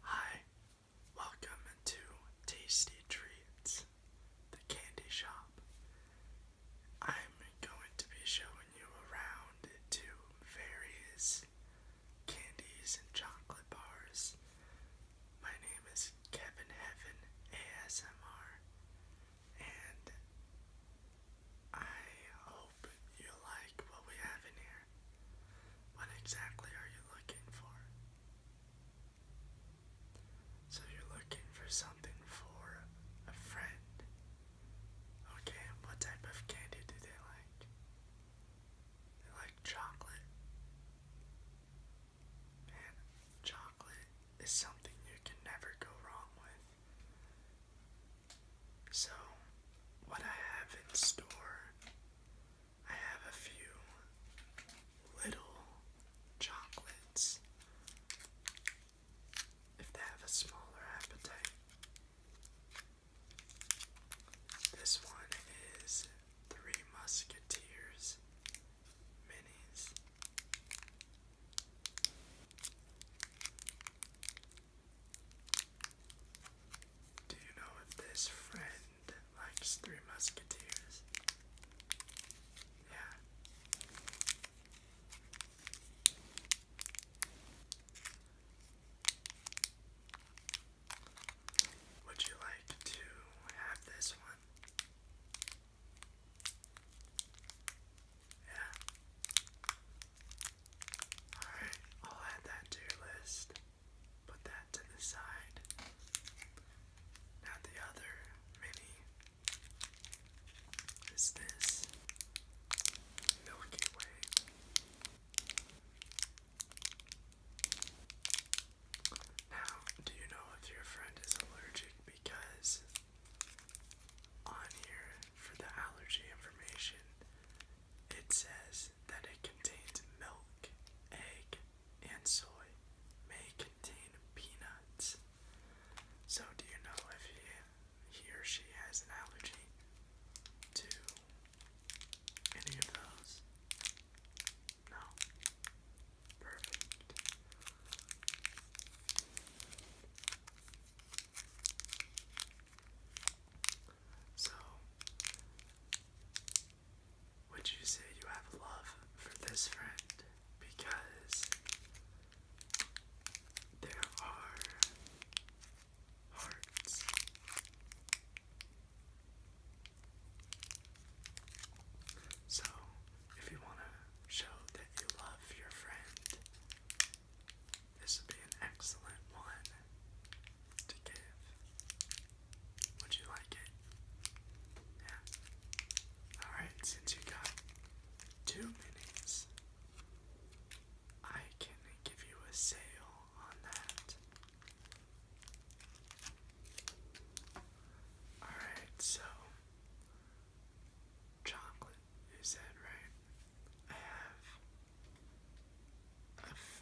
Hi, welcome to Tasty Treats, the candy shop. I'm going to be showing you around to various candies and chocolate bars. My name is Kevin Heaven ASMR, and I you like what we have in here. What exactly are you looking for? So you're looking for something for a friend. Okay, what type of candy do they like? They like chocolate. Man, chocolate is something you can never go wrong with. So, what I have in store, I have a few little chocolates. If they have a smaller appetite, this one is Three Musketeers Minis. Do you know if this friend likes Three Musketeers? Yeah. Would you like to have this one? Yeah. Alright, I'll add that to your list. Put that to the side. Now, the other mini is this Milky Way. Now, do you know if your friend is allergic? Because on here for the allergy information, it says that it contains milk, egg, and soy. May contain peanuts. So, do you know if he, or she has an allergy to any of those? No. Perfect. So, would you say you have love for this friend? Because there are hearts. So, if you want to show that you love your friend, this would be an excellent one to give. Would you like it? Yeah. Alright, since you got two minis, I can give you a sale on that. Alright, so chocolate, you said, right? I have I've,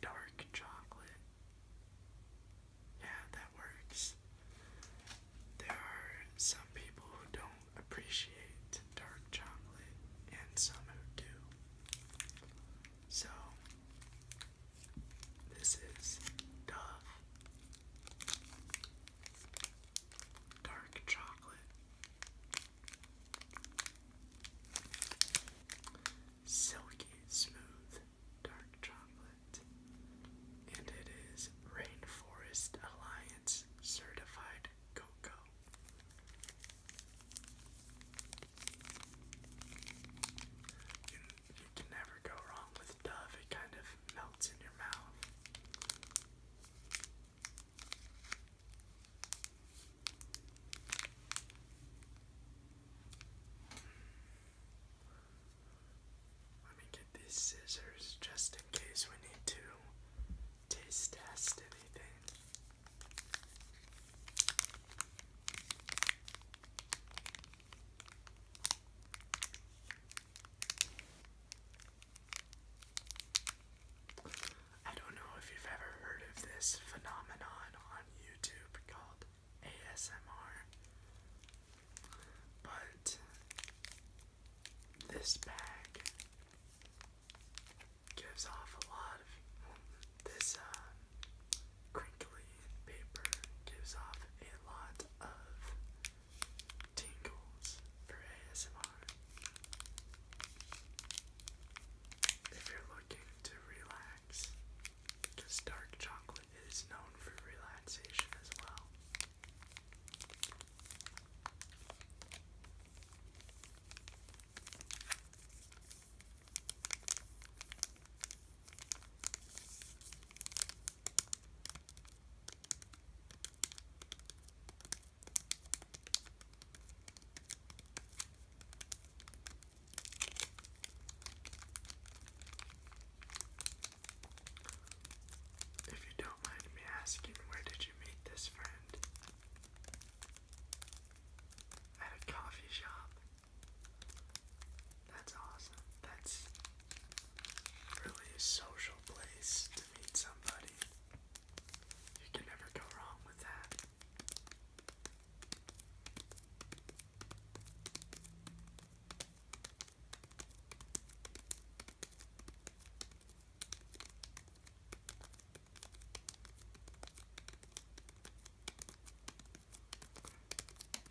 dark chocolate. Yeah, that works. There are some people who don't appreciate dark chocolate and some who do. So, this is Dove dark chocolate, silky smooth dark chocolate, and it is Rainforest Alliance certified cocoa. You, can never go wrong with Dove, it kind of melts in your mouth. Let me get these scissors just in case we need to taste test anything. I don't know if you've ever heard of this phenomenon on YouTube called ASMR, but this bag gives off a lot of this um, crinkly paper gives off a lot of tingles for ASMR. If you're looking to relax, because dark chocolate is known for relaxation as well. If you don't mind me asking, where did you meet this friend? At a coffee shop. That's awesome. That's really a social place to meet somebody. You can never go wrong with that.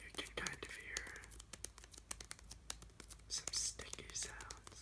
You can kind of hear some sticky sounds.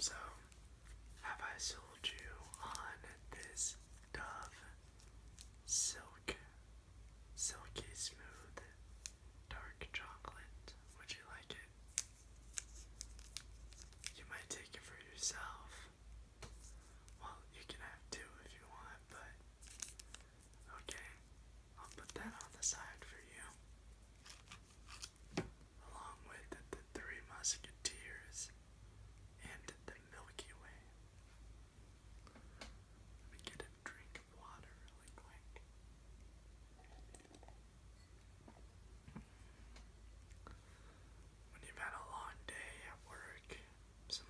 So, have I sold you on this Dove Silk Silky Smooth dark chocolate. Would you like it? You might take it for yourself. Well, you can have two if you want, but okay, I'll put that on the side for you. Along with the, Three Musketeers and the Milky Way. Let me get it drink water really quick. When you've had a long day at work, some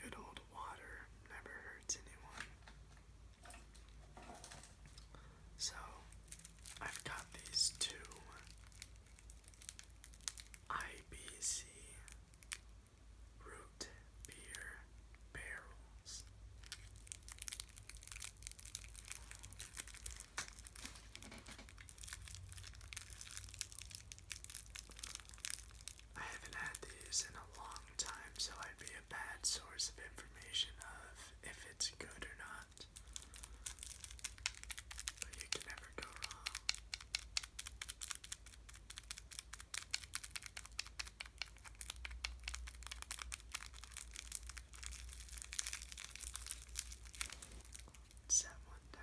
good old water never hurts anyone. So, I've got these two IBC root beer barrels. I haven't had these in a long time, so I'd be a bad source of information of if it's good or not. But you can never go wrong. Set one down.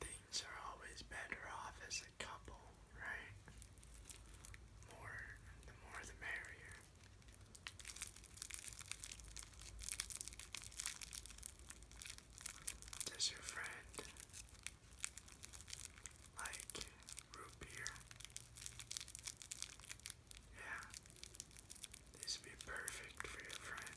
Things are always better off as a couple, right? More, the more the merrier. Does your friend like root beer? Yeah, this would be perfect for your friend.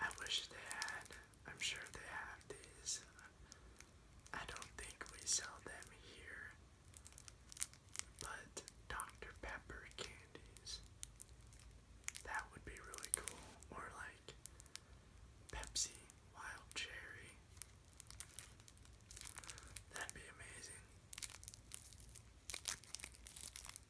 I wish they had I'm sure they have uh, these. I don't think we sell them here. But Dr. Pepper candies. That would be really cool. Or like Pepsi Wild Cherry. That'd be amazing.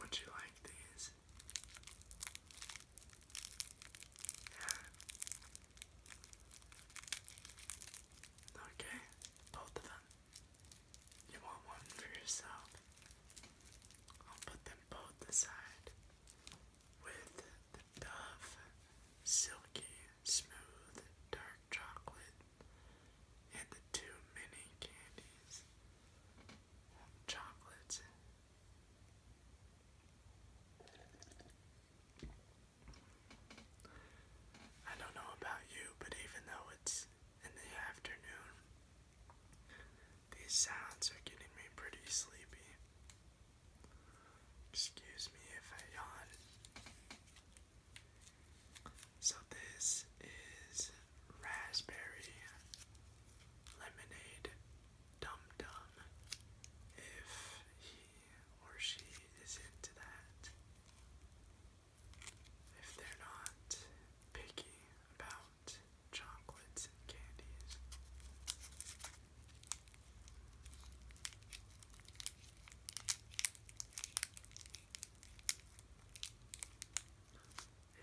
Would you like these? Yeah. Okay, both of them. You want one for yourself? I'll put them both aside with the Dove Silky Smooth Dark Chocolate and the two mini candies. Well, I don't know about you, but even though it's in the afternoon, these sounds are getting me pretty sleepy. Excuse me if I yawn. So, this is raspberry lemonade dum dum. If he or she is into that. If they're not picky about chocolates and candies.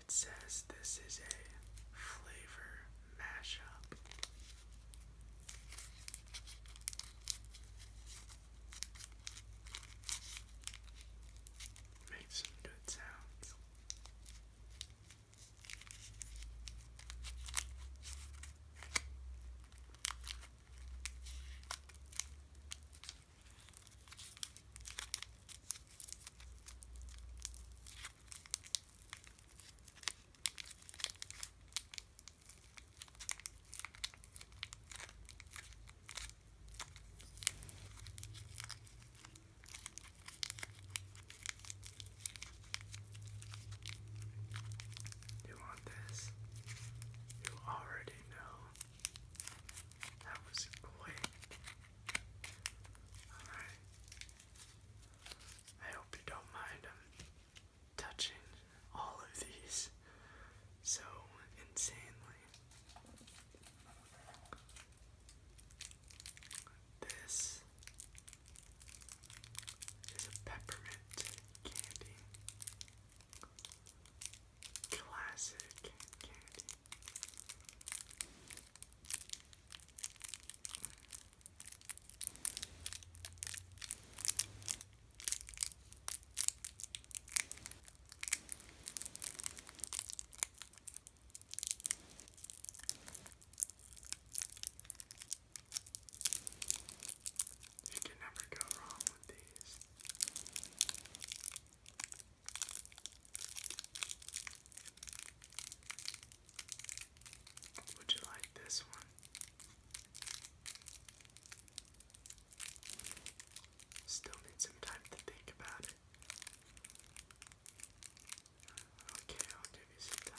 It says this is a flavor mashup. Make some good sounds. You want this? You already know. That was quick. Alright. I hope you don't mind touching all of these so insanely. This is a peppermint candy. Classic candy. You can never go wrong with these. Would you like this one? Still need some time to think about it. Okay, I'll give you some time.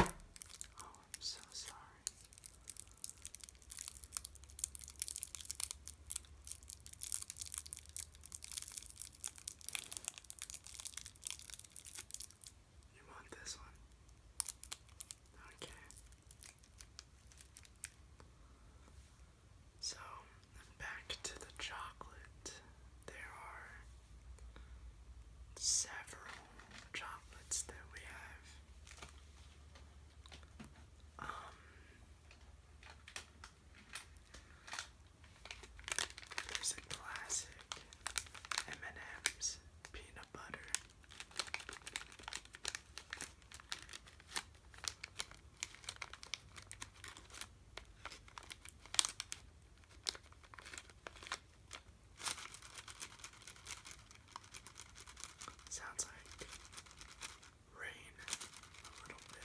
Oh, I'm so sorry. You want this one? Okay. So, back to the chocolate. There are several chocolates that we have. Um, there's a classic M&M's peanut butter. Sounds like rain a little bit.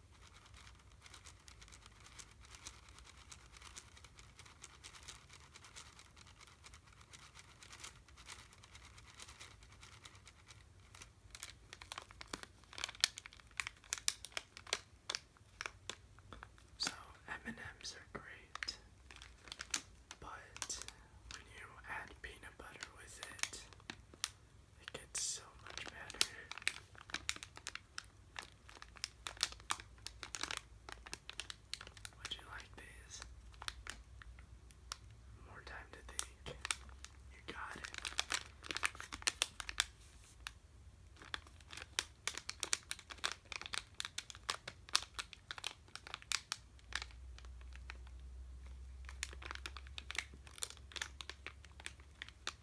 So M&Ms are great, but when you add peanut butter with it, it gets so much better. Would you like these? More time to think. You got it.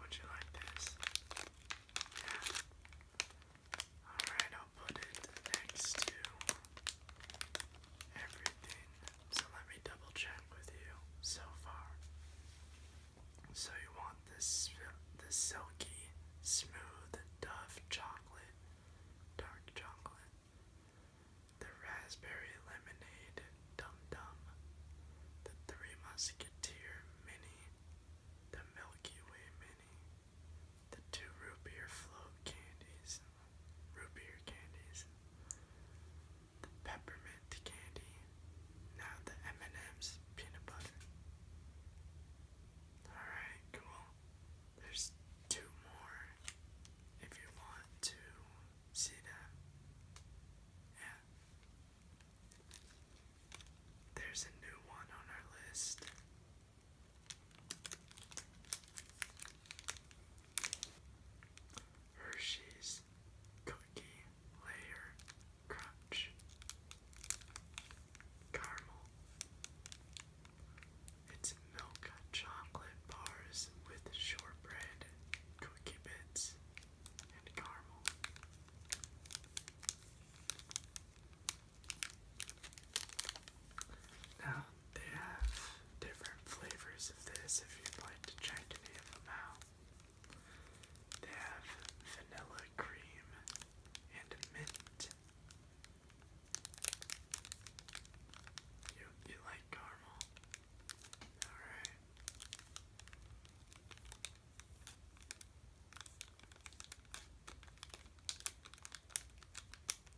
Would you like this? Yeah. Alright, I'll put it next to so let me double check with you so far. So you want this silky, smooth Dove chocolate, dark chocolate, the raspberry lemonade dum dum, the Three Musketeer mini, the Milky Way mini, the two root beer float candies, root beer candies, the peppermint candy, now the M&M's peanut butter. Alright, cool. There's two more if you want to see them. Yeah. There's a new one on our list. Hershey's Cookie Layer Crunch Caramel. It's milk chocolate bars with shortbread, cookie bits, and caramel. Now, they have different flavors of this if you'd like to try any of them out. They have vanilla cream and mint. you like caramel? Alright.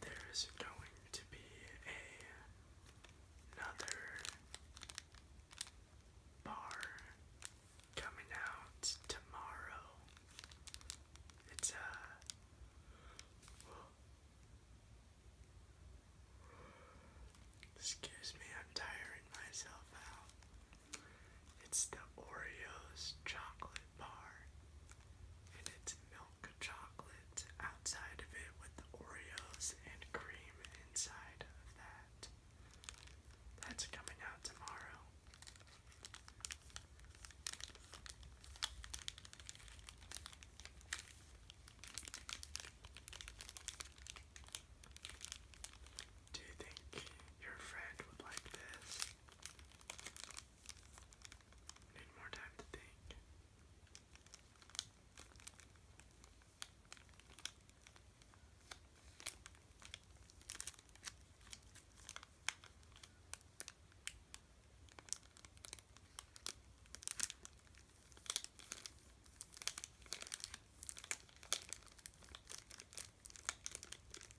There's going to be another bar coming out tomorrow. It's a. Uh, excuse me, I'm tiring myself out. It's the Oreos chocolate bar. And it's milk chocolate outside of it with the Oreos and cream inside of that. That's coming out tomorrow. Do you think your friend would like this? Need more time to think.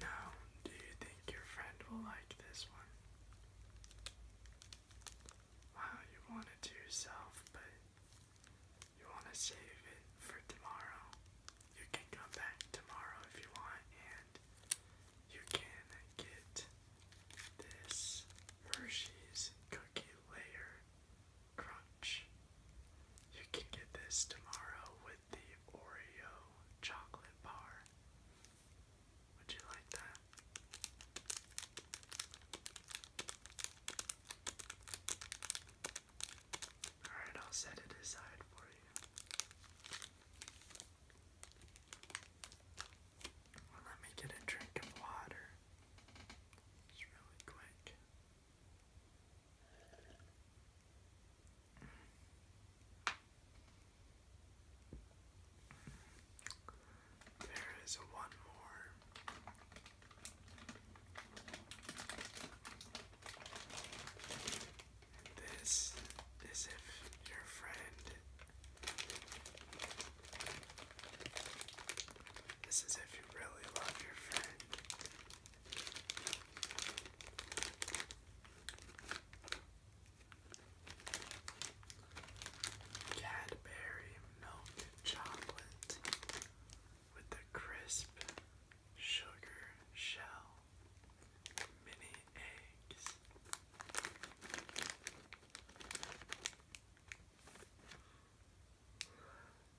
Now, do you think your friend will like this one? Wow, you want it to yourself, but you want to save it for tomorrow. You can come back tomorrow if you want, and you can get this Hershey's cookie layer Crunch. You can get this tomorrow with the Oreo chocolate bar. Would you like that? Alright, I'll set it aside for you. let me get a drink of water. It's really quick. There is one more. This is if your friend this is if you really love your friend. Cadbury milk chocolate with the crisp sugar shell, mini eggs.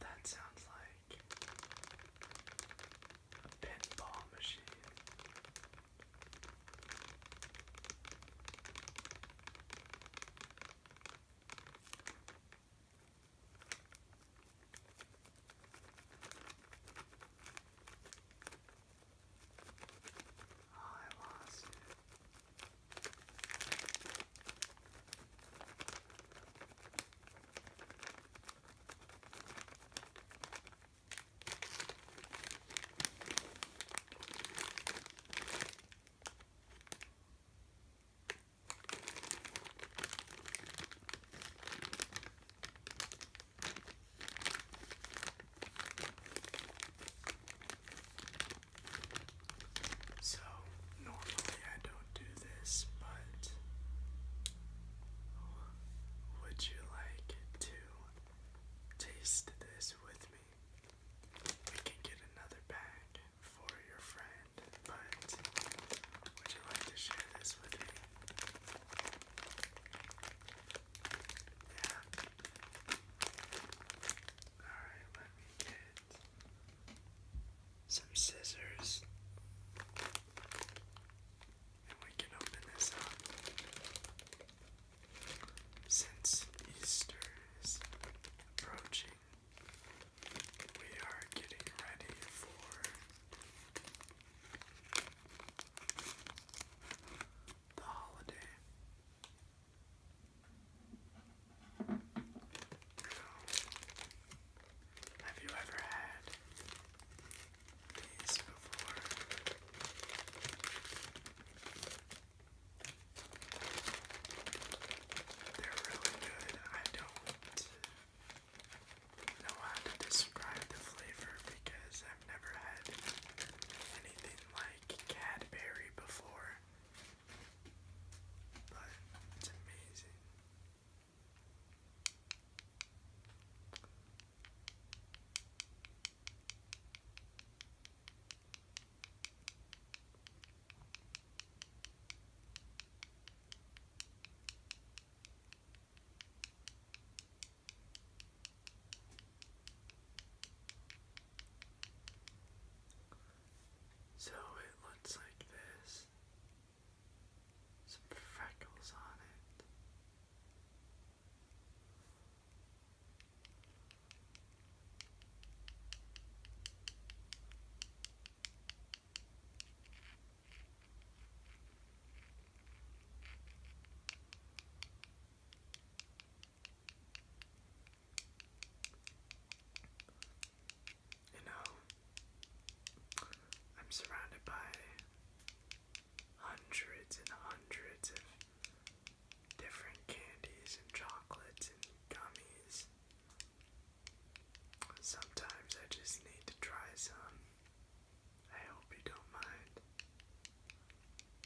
That sounds like a pinball machine. Oh, I lost it. I so, normally I don't do this, but would you like to taste this with me? We can get another bag for your friend, but would you like to share this with me? Yeah, Alright, let me get some scissors. And we can open this up. Since Easter is approaching, we are getting ready for the Have you ever had these before? They're really good. I don't know how to describe the flavor because I've never had anything like Cadbury before, but it's amazing. So it looks like this. Some freckles on it. You know, I'm surrounded by hundreds and hundreds of different candies and chocolates and gummies. Sometimes I just need to try some. I hope you don't mind.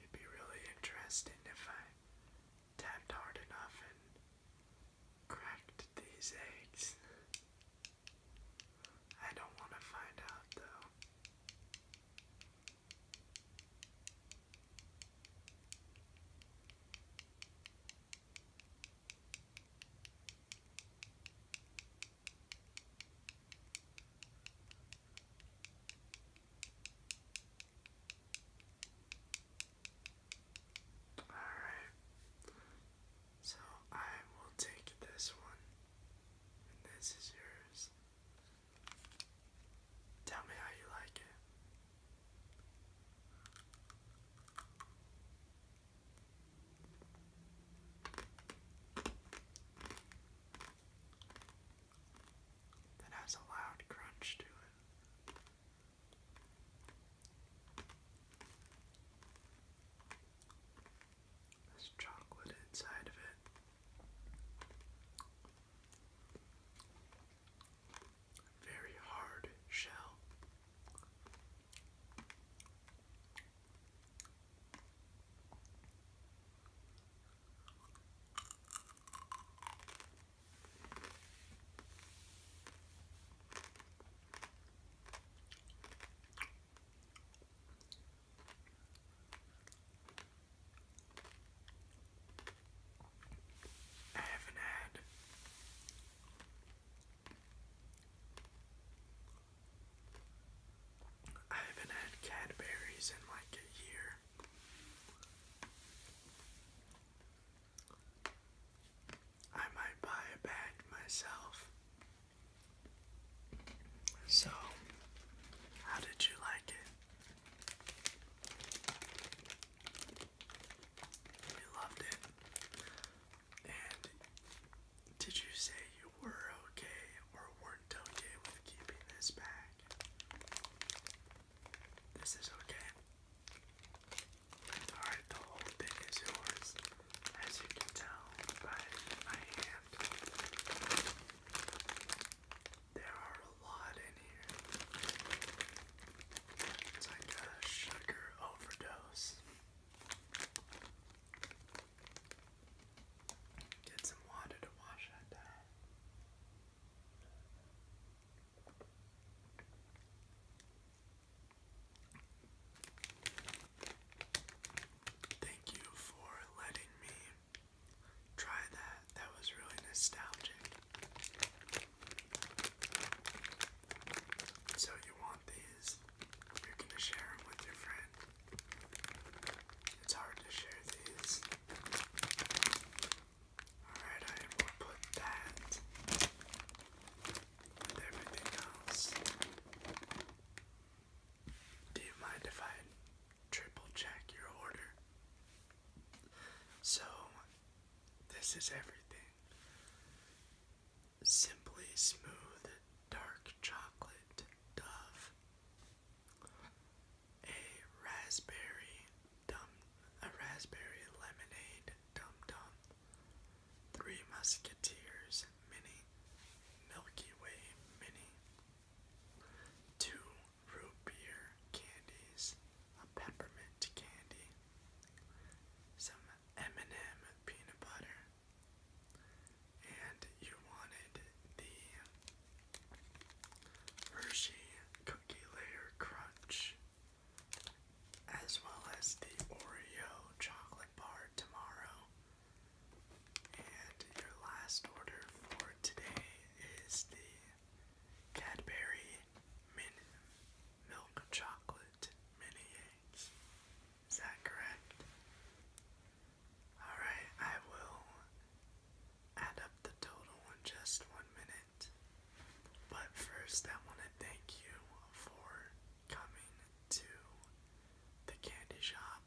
It'd be really interesting if I tapped hard enough and cracked these eggs. I don't want to find out though. Alright, so I will take this one, and this is yours. Tell me how you like it. That has a loud crunch to it. There's chocolate inside of it. Very hard shell. I haven't had I haven't had Cadbury's in like a year. I might buy a bag myself. So, how did you like it? You loved it. And did you say you were okay or weren't with keeping this back. This is okay. Alright, the whole thing is yours, as you can tell by my hand. There are a lot in here. It's like a sugar overdose. Get some water to wash that down. Thank you for letting me try that. That was really nostalgic. So, you want these? You're going to share them with your friend. It's hard to share these. Alright, I will put that with everything else. Do you mind if I triple check your order? So, this is everything. Simply smooth dark chocolate dove, a raspberry dum, a raspberry lemonade dum dum, three musketeers mini, Milky Way mini, two root beer candies, a peppermint candy, some M&M peanut butter, and you wanted the Hershey Cookie Layer Crunch as well as the Oreo Chocolate Bar tomorrow. And your last order for today is the Cadbury Min Milk Chocolate Mini Eggs. Is that correct? Alright, I will add up the total in just one minute. But first, I want to thank you for coming to the candy shop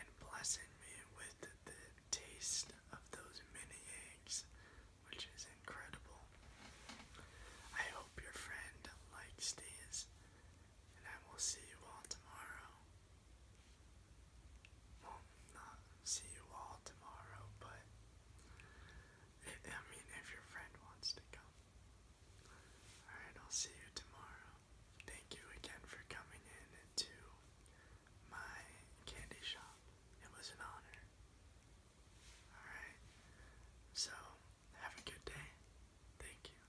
and blessing me with the taste of those mini eggs, which is incredible. I hope your friend likes these and I will see you all tomorrow. Well, not see you all tomorrow, but I mean, if your friend wants to come. Alright, I'll see you tomorrow. Thank you again for coming in to my candy shop. It was an honor. Alright, so have a good day. Thank you.